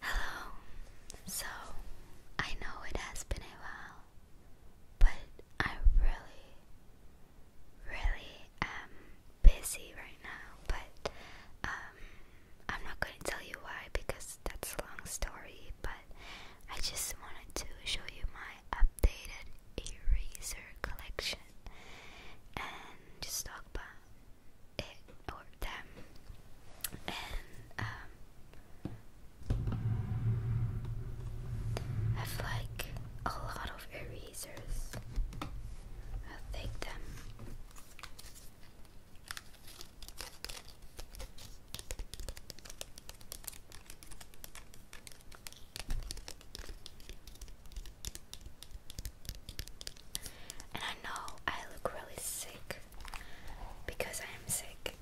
Hello. So, I know it has been a while, but I really, really am busy right now. But um, I'm not going to tell you why because that's a long story. But I just wanted to show you my updated eraser collection and just talk about it or them and um have like a lot of erasers. I'll them. And I know I look really sick because I am sick.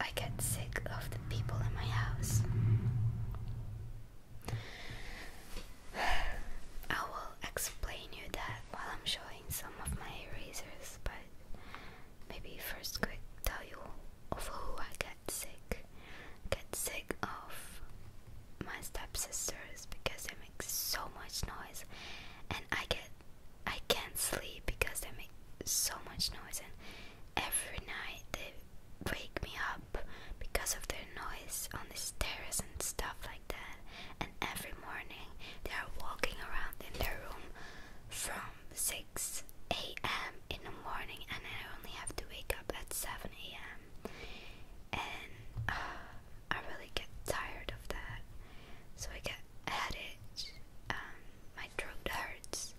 I get sick of the people in my house. I will explain you that while I'm showing some of my erasers, but maybe first quick tell you of who I get sick. Get sick of my stepsisters because they make so much noise and I get I can't sleep because they make so much noise and every night they wake me up because of their noise on the stairs and stuff like that and every morning they are walking around in their room from 6 a.m. in the morning and I only have to wake up at 7 a.m and uh, I really get tired of that. So I get a headache. Um, my throat hurts.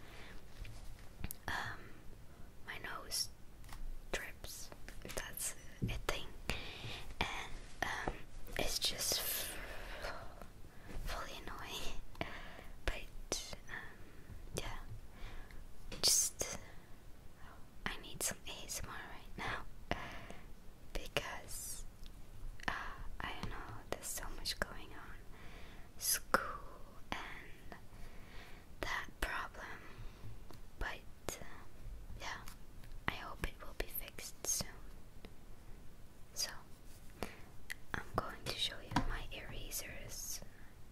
Um, my nose drips. That's a thing, and um, it's just fully annoying. But um, yeah, just I need some ASMR right now because uh, I don't know, there's so much going on. School and that problem. But uh, yeah, I hope it will be fixed soon. So, I'm going to show you my erasers.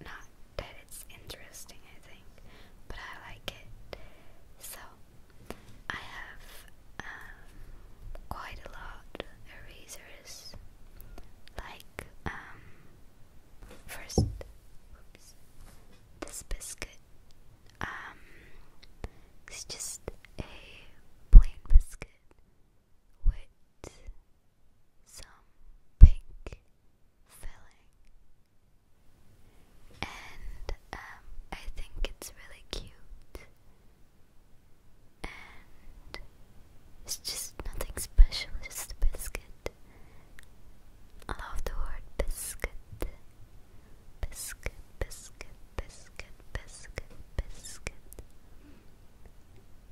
Not that it's interesting, I think, but I like it. So, I have um, quite a lot erasers, like um, first, this biscuit. Um, it's just a plain biscuit some pink filling, and um, I think it's really cute, and it's just nothing special, just a biscuit. I love the word biscuit. Biscuit, biscuit, biscuit, biscuit, biscuit.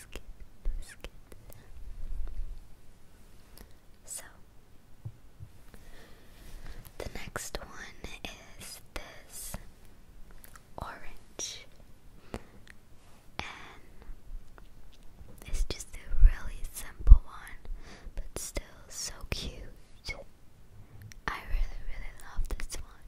skip, skip. So, the next one is this orange, and it's just a really simple one, but still so cute. I really, really love this one.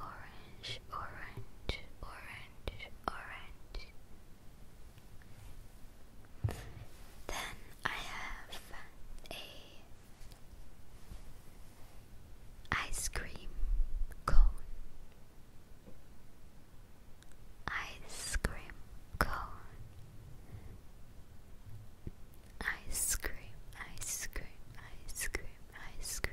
orange, orange, orange, orange. Then I have a ice cream cone. Ice cream cone. Ice cream, ice cream, ice cream, ice cream.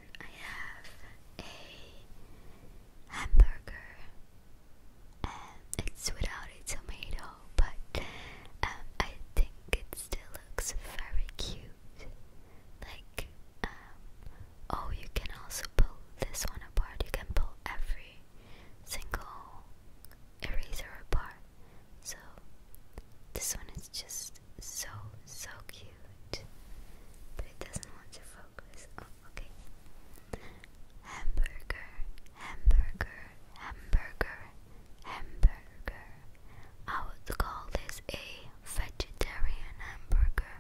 I have a hamburger and um, it's without a tomato, but um, I think it still looks very cute. Like, um, oh, you can also pull this one apart, you can pull every single eraser apart. So, this one is just so, so cute. But it doesn't want to focus. Oh, okay. Hamburger, hamburger, hamburger, hamburger. I would call this a vegetarian hamburger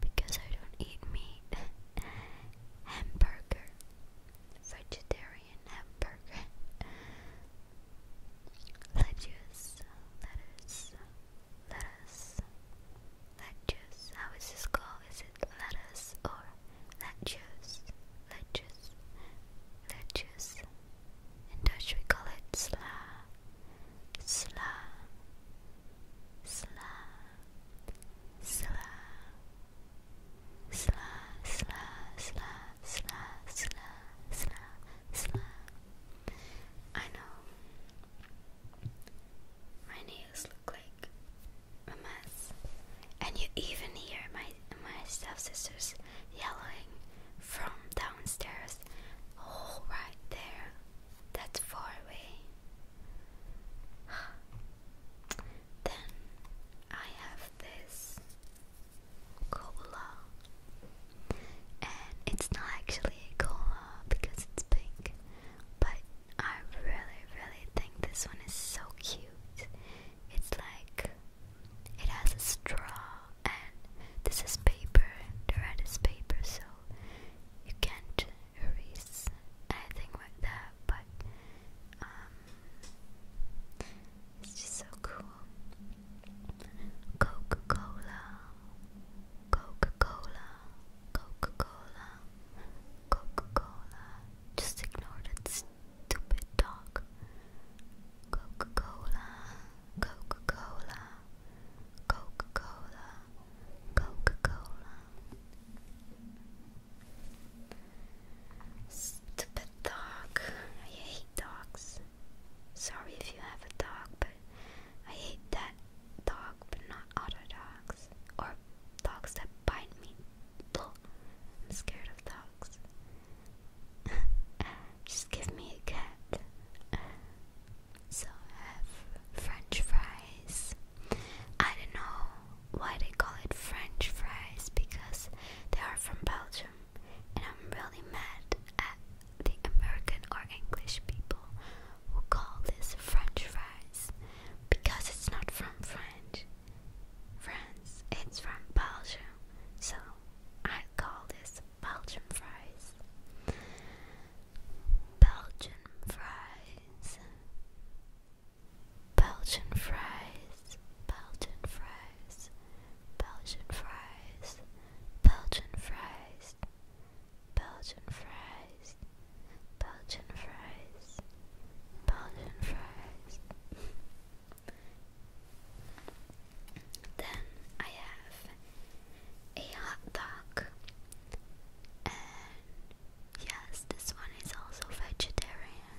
because I don't eat meat. hamburger, vegetarian hamburger. Lettuce, lettuce, lettuce, lettuce. How is this called? Is it lettuce or lettuce? Lettuce, lettuce. In Dutch we call it sla, sla, sla, sla, sla, sla, sla, sla, sla, sla, sla. I know. My nails look like a mess. And you even hear my my step sisters yelling from downstairs. Oh there. That's far away. then I have this cola. And it's not actually a cola because it's pink. But I really, really think this one is so cute. It's like it has a straw, and this is paper. The red is paper, so you can't erase anything with that. But um, it's just so cool. Coca Cola, Coca Cola, Coca Cola, Coca Cola. Just ignore that stupid dog. Coca Cola, Coca Cola, Coca Cola, Coca Cola. Stupid dog. I hate dogs. Sorry if you have a dog, but I hate that dog, but not other dogs. Or dogs that bite me. Blah. I'm scared of dogs. Just give me a cat. So have French fries. I don't know why they call it French fries because they are from Belgium and I'm really mad at the American or English people who call this French fries because it's not from French France, it's from Belgium, so I call this Belgian fries. Belgian fries. Belgian fries. Belgian fries, Belgian fries, Belgian fries, Belgian fries, Belgian fries, Belgian fries. then I have a hot dog, and yes, this one is also vegetarian.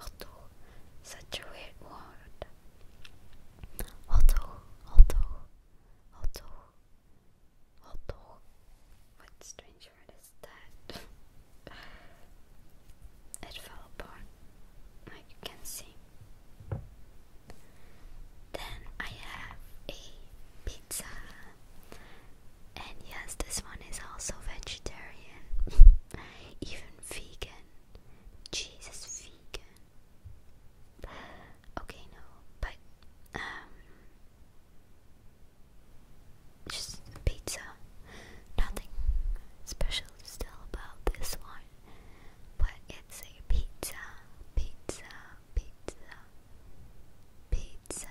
Otto, such a weird word. Otto, Otto, Otto, Otto. What strange is that? it fell apart, like you can see. Then I have a pizza. And yes, this one is also vegetarian, even vegan. Jesus, vegan. Okay, no, but um, just pizza. Nothing special still about this one, but it's a pizza, pizza, pizza, pizza,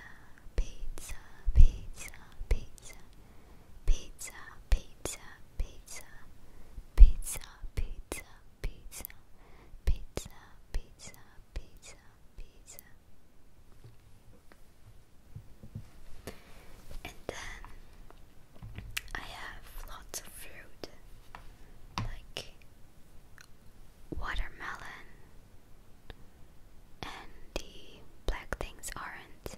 pizza, pizza, pizza pizza, pizza, pizza, pizza, pizza, pizza, pizza, pizza, pizza, And then I have lots of fruit like watermelon and the black things orange aren't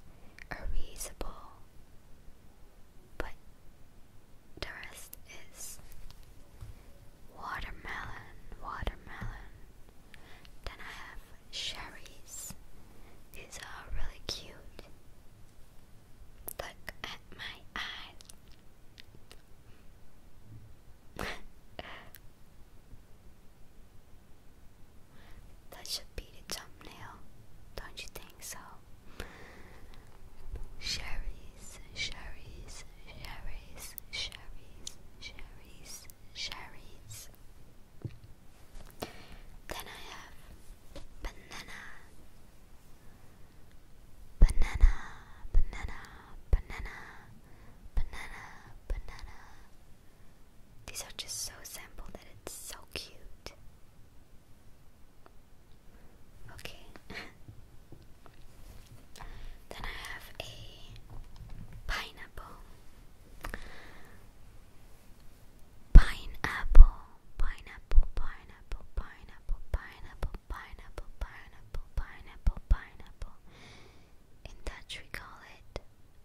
but the is watermelon, watermelon. Then I have cherries. These are really cute. Look at my eyes. That should be the thumbnail, don't you think so? Cherries, cherries, cherries, cherries, cherries, Sherry's. Then I have banana, banana, banana, banana, banana, banana, these are just so simple that it's so cute. Okay. then I have a pineapple. Pineapple, pineapple, pineapple, pineapple, pineapple, pineapple, pineapple, pineapple, pineapple. In Dutch we call it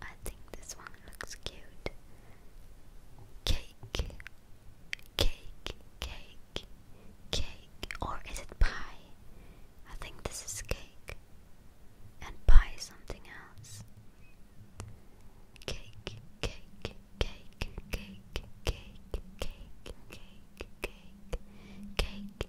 I think this one looks cute. Cake, cake, cake, cake, or is it pie? I think this is cake, and pie something else. Cake, cake, cake, cake, cake, cake, cake, cake, cake,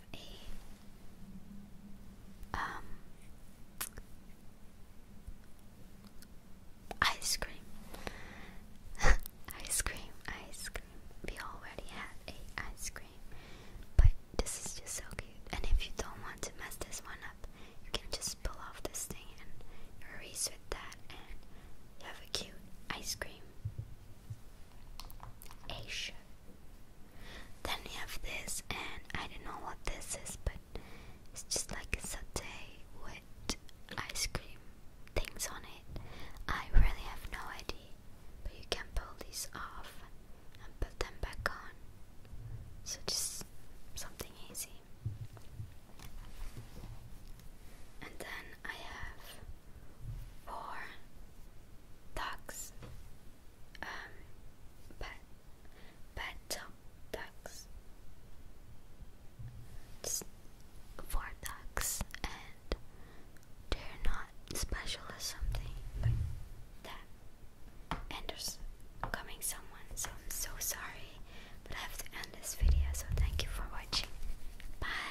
a um ice cream. ice cream, ice cream. We already had a ice cream. But this is just so cute. And if you don't want to mess this one up, you can just pull off this thing and erase with that and you have a cute ice cream. Asia. Then we have this, and I don't know what this is, but it's just like a satay with ice cream things on it. I really have no idea, but you can pull these off and put them back on. So just something easy. And then I have for ducks, um, pet, pet top ducks, it's ducks, and they're not special or something, that, and there's coming someone, so I'm so sorry, but I have to end this video, so thank you for watching, bye!